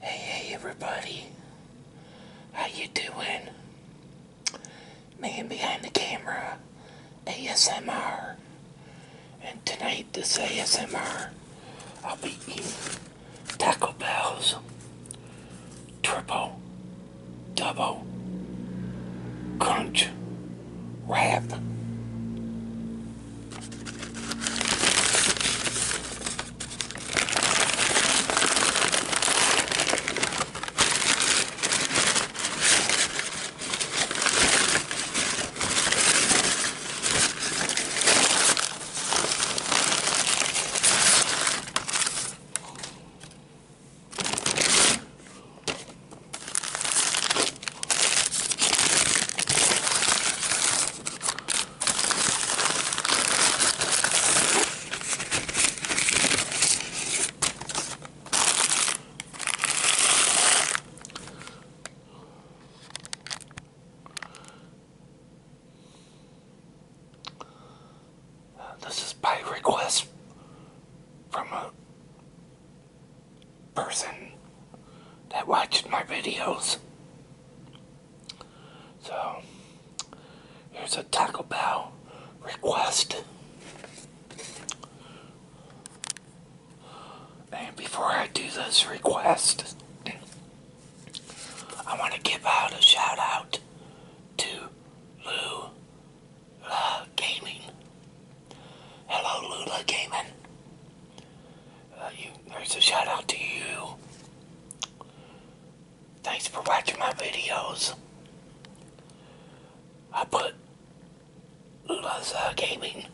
Hey, hey, everybody. How you doing? Man behind the camera, ASMR. And tonight, this ASMR, I'll be eating Taco Bell's triple double crunch wrath. This is by request from a person that watches my videos. So, here's a Taco Bell request. And before I do this request, I want to give out a shout out to Lou uh, Gaming. Hello, Lula Gaming. Uh, you, there's a shout out to you. Thanks for watching my videos. I put Lula's uh, Gaming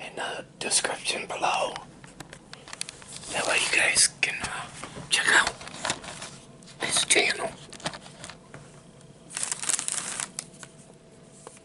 in the description below. That way you guys can uh, check out this channel.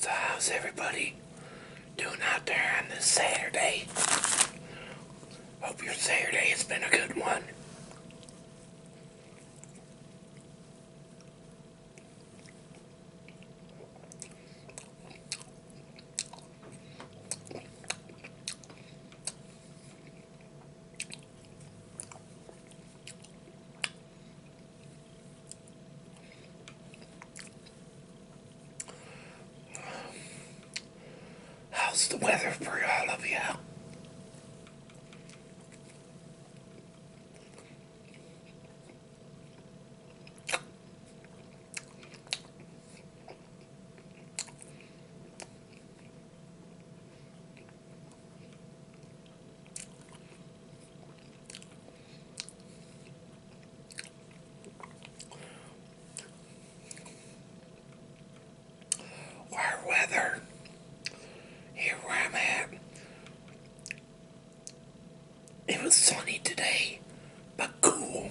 So how's everybody doing out there on this Saturday. Hope your Saturday has been a good one. How's the weather for all of you? Our weather here where I'm at. It was sunny today, but cool.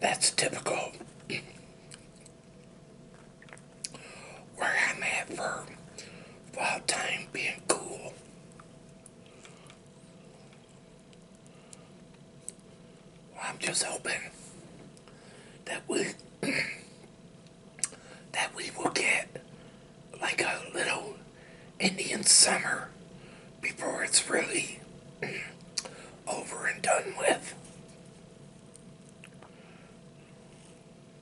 That's typical where I'm at for fall time being cool. I'm just hoping that we that we will get like a little Indian summer before it's really over and done with.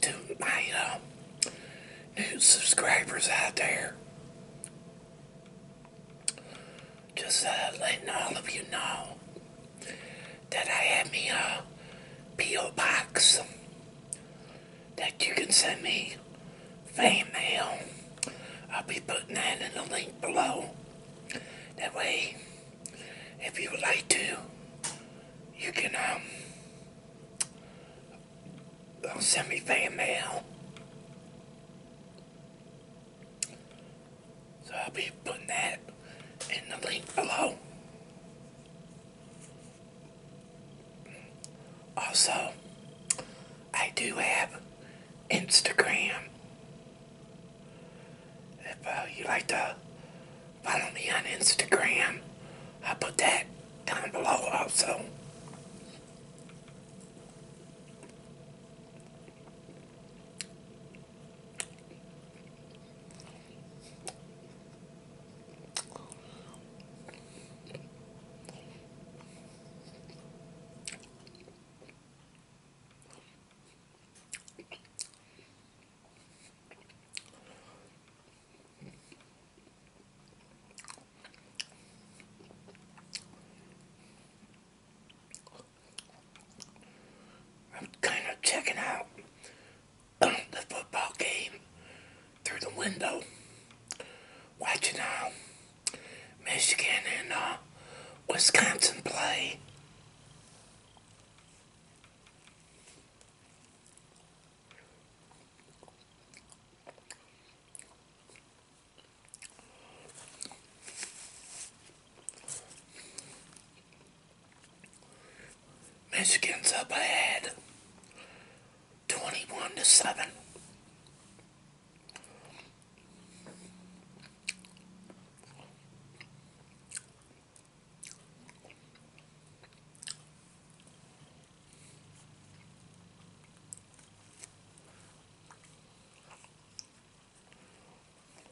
to my uh, new subscribers out there. Just uh, letting all of you know that I have me a P.O. Box that you can send me fan mail. I'll be putting that in the link below. That way, if you would like to, you can um, uh, send me fan mail. So I'll be putting that in the link below. Also, I do have Instagram. If uh, you'd like to follow me on Instagram, I'll put that down below also. I'm kind of checking out the football game through the window, watching uh, Michigan and uh, Wisconsin play. Michigan's up ahead, 21 to 7.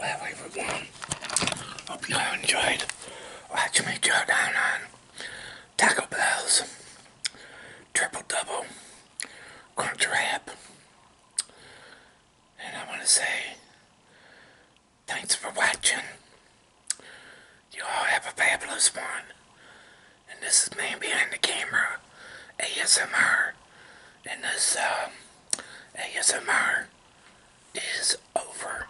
Well, everyone, hope you all enjoyed watching me chow down Tackle Bell's Triple Double Crunch And I want to say thanks for watching. You all have a fabulous one. And this is Man Behind the Camera ASMR. And this um, ASMR is over.